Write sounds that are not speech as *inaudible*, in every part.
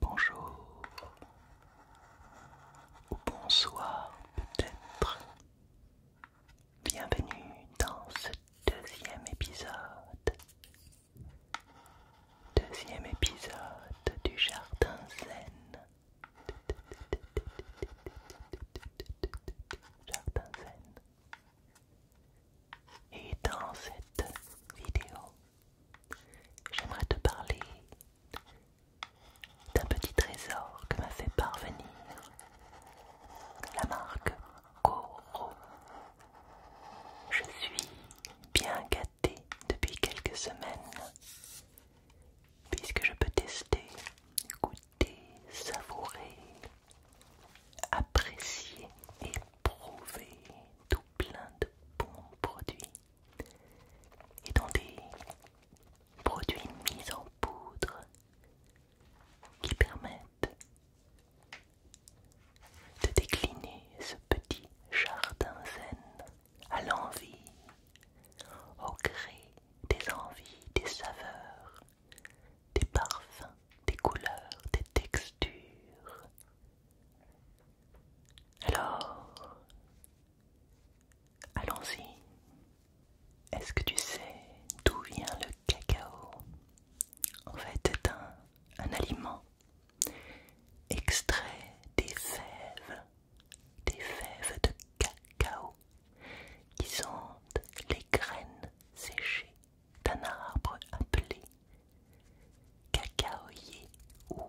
Bonjour bonsoir peut-être Bienvenue dans ce deuxième épisode. Deuxième épisode du Jardin Zen. Jardin Zen. Et dans cette vidéo, j'aimerais te parler d'un petit trésor que m'a fait parvenir la marque Koro Je suis bien gâtée depuis quelques semaines, puisque je peux tester, goûter, savourer, apprécier et prouver tout plein de bons produits et dans des produits mis en poudre qui permettent de décliner ce petit jardin zen à l'envie, au gré des envies, des saveurs, des parfums, des couleurs, des textures. Alors, Allons-y. Est-ce que tu sais d'où vient le cacao En fait, c'est un, aliment extrait des fèves, des fèves de cacao, qui sont les graines séchées d'un arbre appelé cacaoyer ou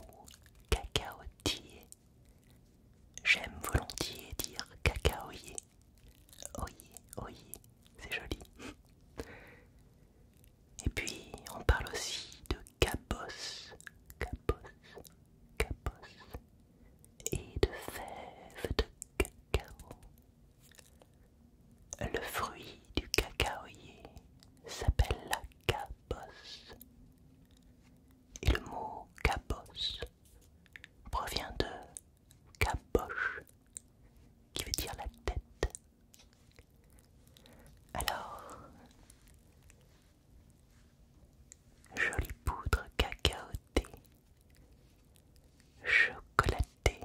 cacaotier. J'aime volontiers dire cacaoyer. oï, oï, c'est joli. Et puis on parle aussi de cabosse, cabosse, cabosse, et de fèves de cacao. Le fruit du cacaoyer s'appelle la cabosse. Et le mot cabosse provient de caboche, qui veut dire la tête. Alors, jolie poudre cacaotée, chocolatée.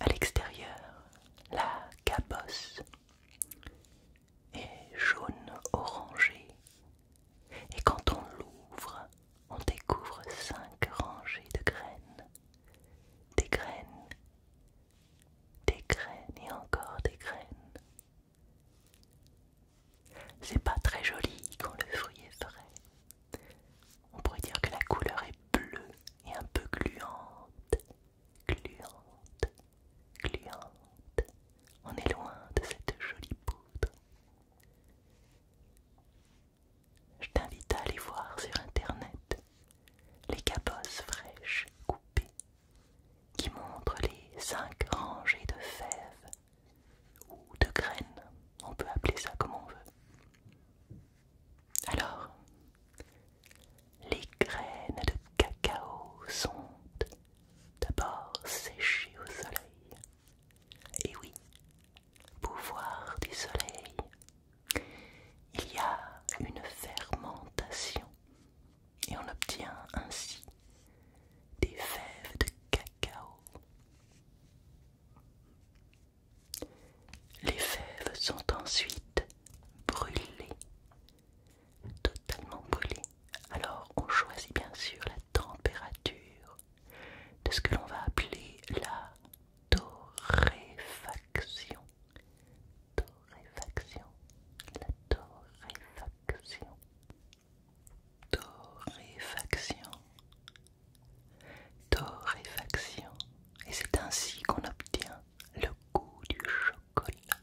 À l'extérieur, la cabosse est jaune orangé et quand on l'ouvre, on découvre cinq rangées de graines. Des graines, des graines et encore des graines. C'est pas très joli quand le fruit est frais. On pourrait dire que la couleur est bleue et un peu gluante, gluante, gluante. On est loin de cette jolie poudre. Je t'invite à aller voir sur internet les cabosses fraîches coupées qui montrent les cinq rangées de fèves ou de graines, on peut appeler ça comme on veut. Alors, les graines de cacao sont d'abord sécher au soleil. Et oui, pouvoir du soleil. Il y a une fermentation et on obtient ainsi des fèves de cacao. Les fèves sont ensuite brûlées totalement brûlé. Alors on choisit bien sûr la température de ce que l'on va appeler la torréfaction. Torréfaction. La torréfaction. Torréfaction. Torréfaction. Et c'est ainsi qu'on obtient le goût du chocolat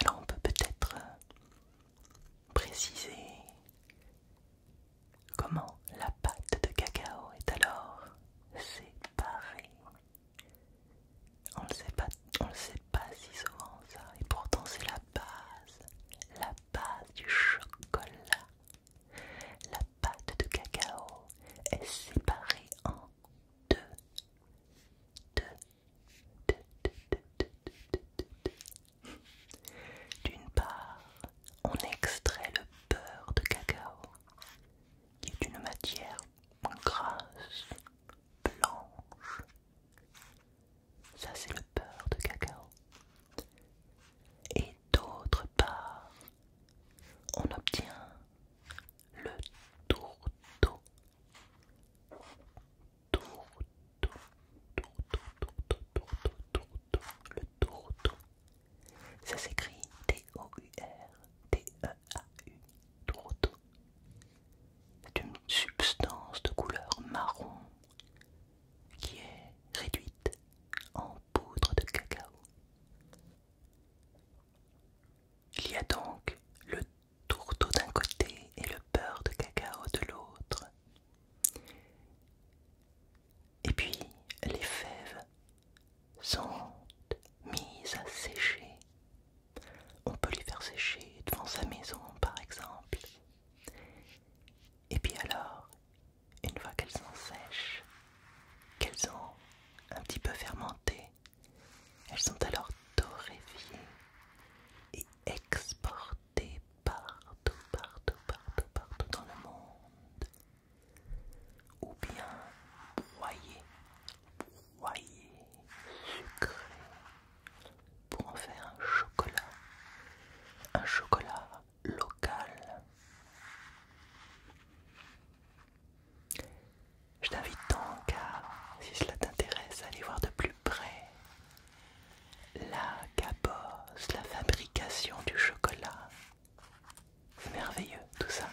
alors on peut peut-être euh, préciser comment la pâte de cacao est alors séparée. On ne sait pas, on le sait pas si souvent ça, et pourtant c'est la base, la base du chocolat la pâte de cacao est séparée en deux. D'une part, on extrait le beurre de cacao, qui est une matière grasse, blanche. Ça, c'est le beurre de cacao. Et d'autre part, on obtient le tourteau. Tourteau, tourteau, tourteau, tourteau, tourteau, le tourteau. Ça s'écrit T-O-U-R-T-E-A-U, tourteau. C'est une substance de couleur marron qui est réduite en poudre de cacao. Il y a donc le tourteau d'un côté et le beurre de cacao de l'autre. Et puis les fèves sont mises à sécher. On peut les faire sécher devant sa maison par exemple. Et puis alors, une fois qu'elles sont sèches, qu'elles ont un petit peu fermenté, elles sont alors torréfiées et exportées partout, partout, partout, partout dans le monde. Ou bien broyées, broyées, sucrées, pour en faire un chocolat. Un chocolat Local. Je t'invite donc à, si cela t'intéresse, à aller voir de plus près la cabosse, la fabrication du chocolat. C'est merveilleux tout ça.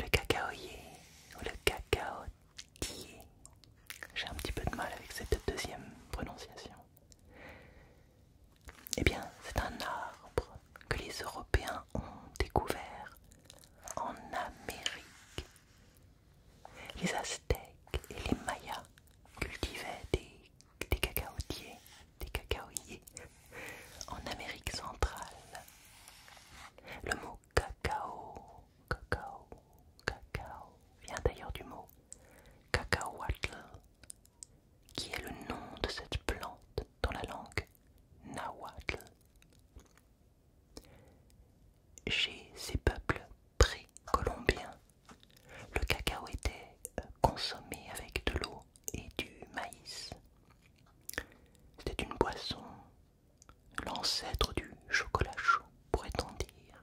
Le cacaoyer ou le cacaotier. J'ai un petit peu de mal avec cette deuxième prononciation. Eh bien, c'est un arbre que les Européens ont découvert en Amérique. Les Aztèques et les Mayas cultivaient des, cacaotiers, des cacaoyers en Amérique centrale. Le mot cacao, cacao, cacao vient d'ailleurs du mot cacahuatl qui est le nom de cette plante dans la langue nahuatl. Chez ces peuples précolombiens, le cacao était consommé avec de l'eau et du maïs. C'était une boisson, l'ancêtre du chocolat chaud, pourrait-on dire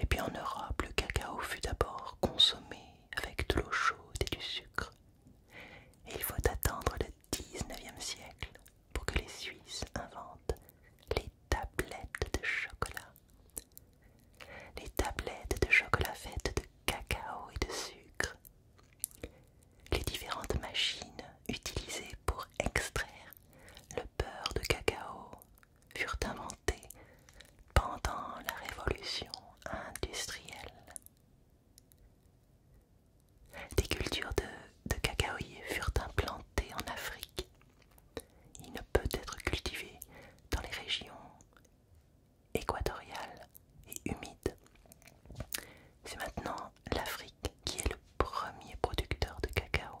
Et puis en Europe, le cacao fut d'abord consommé avec de l'eau chaude et du sucre. Et il faut attendre le 19e siècle pour que les Suisses inventent les tablettes de chocolat. Les tablettes de chocolat faites de cacao et de sucre. Les différentes machines utilisées pour extraire le beurre de cacao furent inventés pendant la révolution industrielle. Des cultures de, de furent implantées en Afrique. Il ne peut être cultivé dans les régions équatoriales et humides. C'est maintenant l'Afrique qui est le premier producteur de cacao.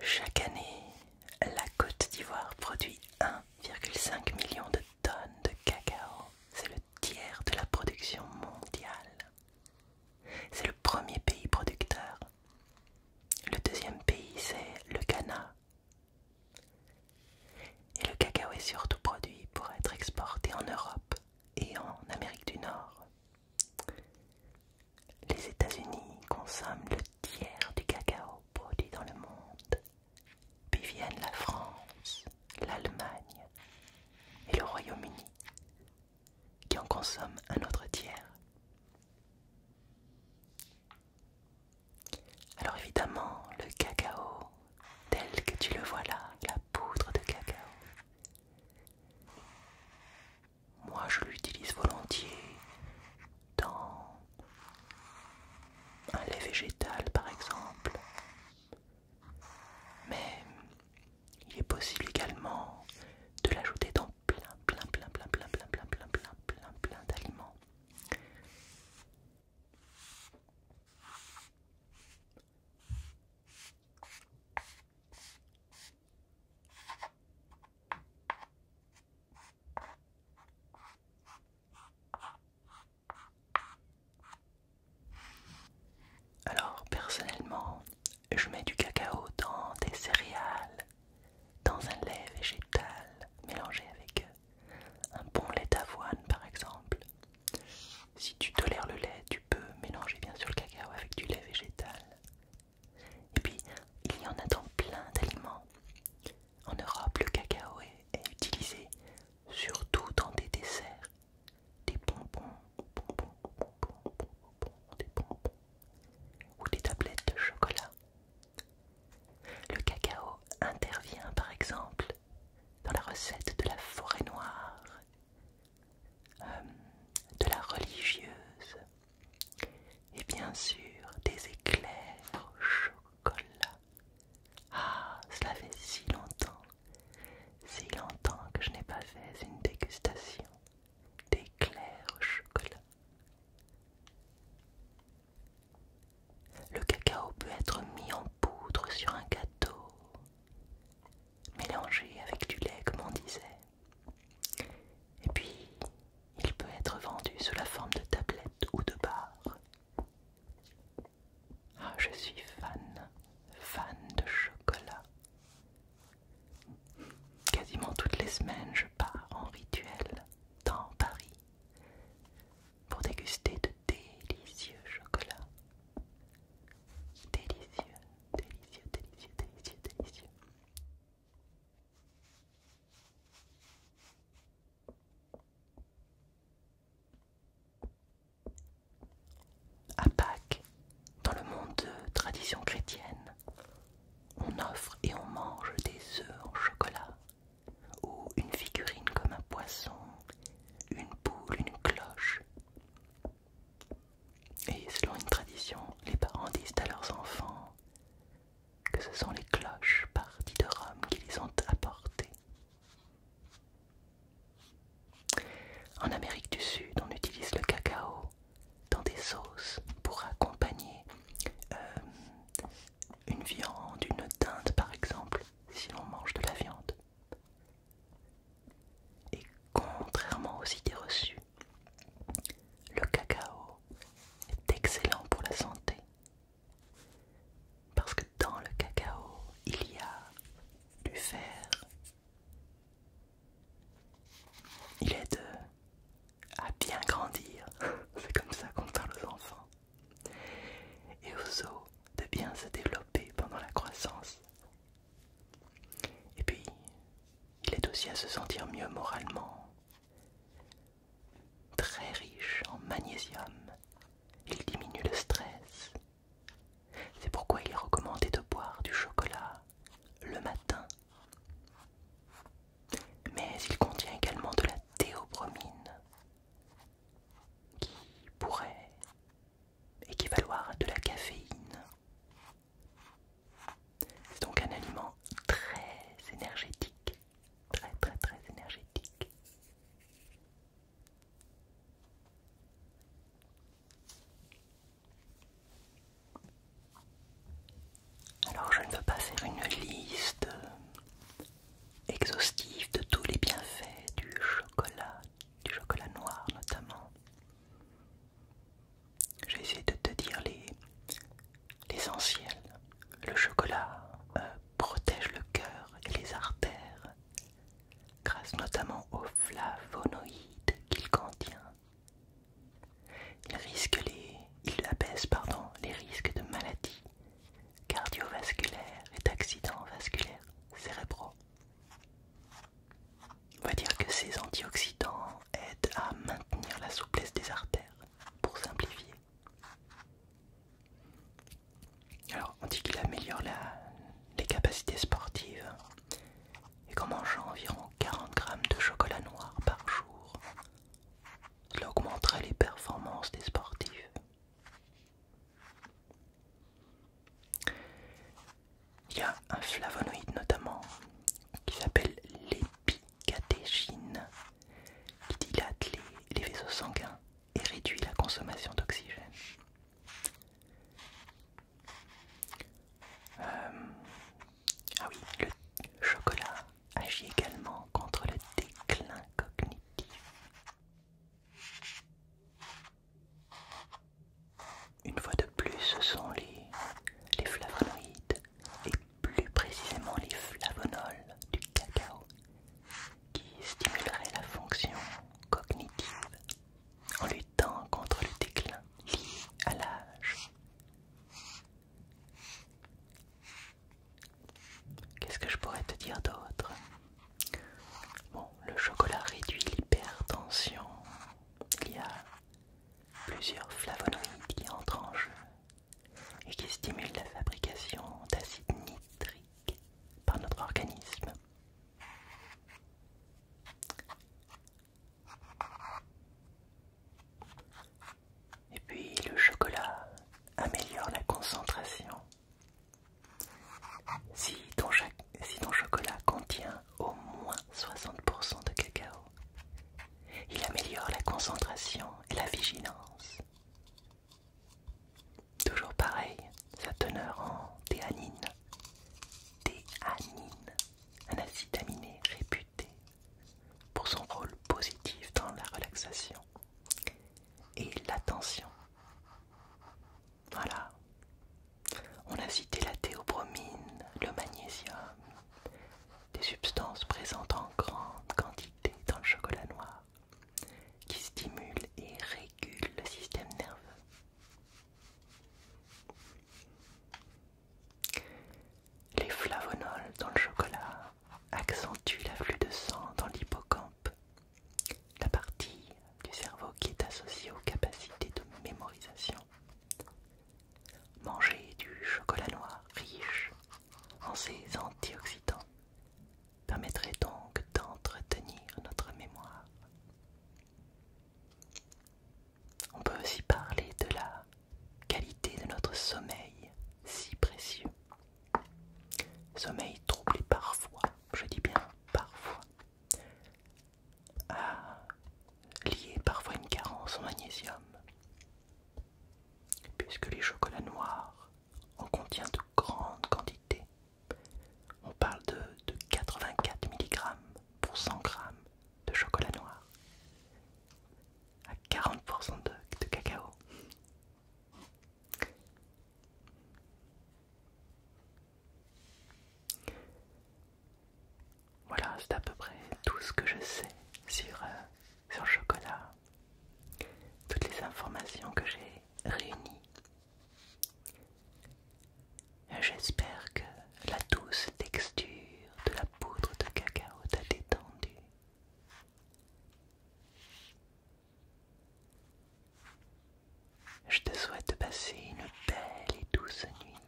Chaque année, la Côte d'Ivoire produit 1,5 million de tonnes de cacao. C'est le tiers de la production mondiale. C'est le premier pays producteur. Le deuxième pays, c'est le Ghana. Et le cacao est surtout produit pour être exporté en Europe et en Amérique du Nord. Les États-Unis consomment le tiers du cacao produit dans le monde, puis viennent la France, l'Allemagne et le Royaume-Uni, qui en consomment un autre tiers. Alors évidemment, le cacao, tel que tu le vois là, la poudre de cacao, moi, je l'utilise volontiers dans un lait végétal, par exemple. Mais il est possible également de l'ajouter dans plein, plein, plein, plein, plein, plein, plein, plein, plein, plein, plein d'aliments. Alors personnellement, je mets du cacao dans des céréales, dans un lait végétal mélangé avec euh, un bon lait d'avoine par exemple. Si tu tolères le lait, tu mélanger bien sûr le cacao avec du lait végétal. Et puis, il y en a dans plein d'aliments. En Europe, le cacao est, utilisé surtout dans des desserts, des des bonbons, ou des tablettes de chocolat. Le cacao intervient par exemple dans la recette de la forêt noire euh, de la religieuse et bien sûr des éclairs au chocolat. Ah, cela fait si longtemps, si longtemps que je n'ai pas fait une dégustation d'éclairs au chocolat. Le cacao peut être mis en poudre sur un gâteau mélangé avec du lait comme on disait. Et puis, il peut être vendu sous la forme de tablettes ou de barres. Ah, je suis fan, fan de chocolat. Quasiment toutes les semaines, je pars en rituel dans Paris pour déguster de délicieux chocolats. Délicieux délicieux, délicieux, délicieux, délicieux. À Pâques, dans le monde de tradition chrétienne, on offre et on mange des œufs en chocolat, ou une figurine comme un poisson, une boule, une cloche, et selon une tradition, les parents disent à leurs enfants que ce sont les cloches parties de Rome qui les ont apportées. En Amérique du Sud, on utilise le cacao dans des sauces pour accompagner euh, une viande, une dinde par exemple, si l'on mange de la viande. Et contrairement aux idées reçues, le cacao est excellent pour la santé. Parce que dans le cacao, il y a du fer. Il aide à bien grandir. *laughs* C'est comme ça qu'on parle aux enfants. Et aux os de bien se développer pendant la croissance et puis, il aide aussi à se sentir mieux moralement. Très riche en magnésium, il diminue le stress. C'est pourquoi il est recommandé de boire du chocolat le matin. Mais il contient également de la théobromine qui pourrait équivaloir à de la caféine. C'est donc un aliment très énergétique, très très très énergétique. Alors je ne veux pas faire une liste exhaustive de tous les bienfaits du chocolat, du chocolat noir notamment. J'essaie de te dire l'essentiel. le chocolat euh, protège le cœur et les artères grâce notamment aux flavonoïdes qu'il contient. Il, risque les, il abaisse pardon, les risques de maladies cardiovasculaires et d'accidents vasculaires cérébraux. On va dire que ces antioxydants aident à maintenir la souplesse des artères, pour simplifier. Alors, on dit qu'il améliore les capacités sportives et qu'en mangeant environ 40 grammes de chocolat noir par jour, cela augmenterait les performances des sportifs il y a un flavonoïde notamment qui s'appelle l'épicatégine qui dilate les, vaisseaux sanguins et réduit la consommation d'oxygène. Euh, ah oui, le chocolat agit également contre le déclin cognitif. Une fois de plus, ce sont les, flavonoïdes et plus précisément les flavonols du cacao qui stimuleraient la fonction cognitive en luttant contre le déclin lié à l'âge. Qu'est-ce que je pourrais te dire d'autre Bon, le chocolat réduit l'hypertension. Il y a plusieurs flavonoïdes qui entrent en jeu et qui stimulent la fabrication d'acide nitrique par notre organisme. Et puis le chocolat améliore la concentration si ton, chocolat contient au moins 60% de cacao, il améliore la concentration et la vigilance. Toujours pareil, sa teneur en théanine. Théanine, un acide aminé réputé pour son rôle positif dans la relaxation et l'attention. Voilà. On a cité la théobromine, le magnésium, des substances présentes en grande quantité dans le chocolat noir qui stimulent et régulent le système nerveux. Les flavonols dans le chocolat accentuent l'afflux de sang dans l'hippocampe la partie du cerveau qui est associée aux capacités de mémorisation. Manger du chocolat noir riche en ses antioxydants permettrait donc d'entretenir notre mémoire. On peut aussi parler de la qualité de notre sommeil si précieux. Sommeil troublé parfois, je dis bien parfois, à ah, lier parfois une carence en magnésium, puisque les chocolats noirs en contiennent de grandes quantités. On parle de, 84 mg pour 100 g de chocolat noir à 40% de cacao. Voilà, c'est à peu près tout ce que je sais sur, euh, le chocolat. Toutes les informations que j'ai réunies. J'espère que la douce texture de la poudre de cacao t'a détendu. Je te souhaite passer une belle et douce nuit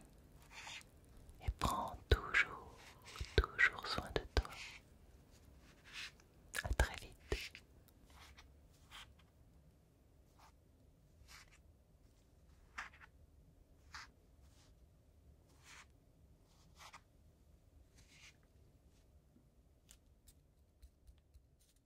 et prends toujours, toujours soin de toi. À très vite.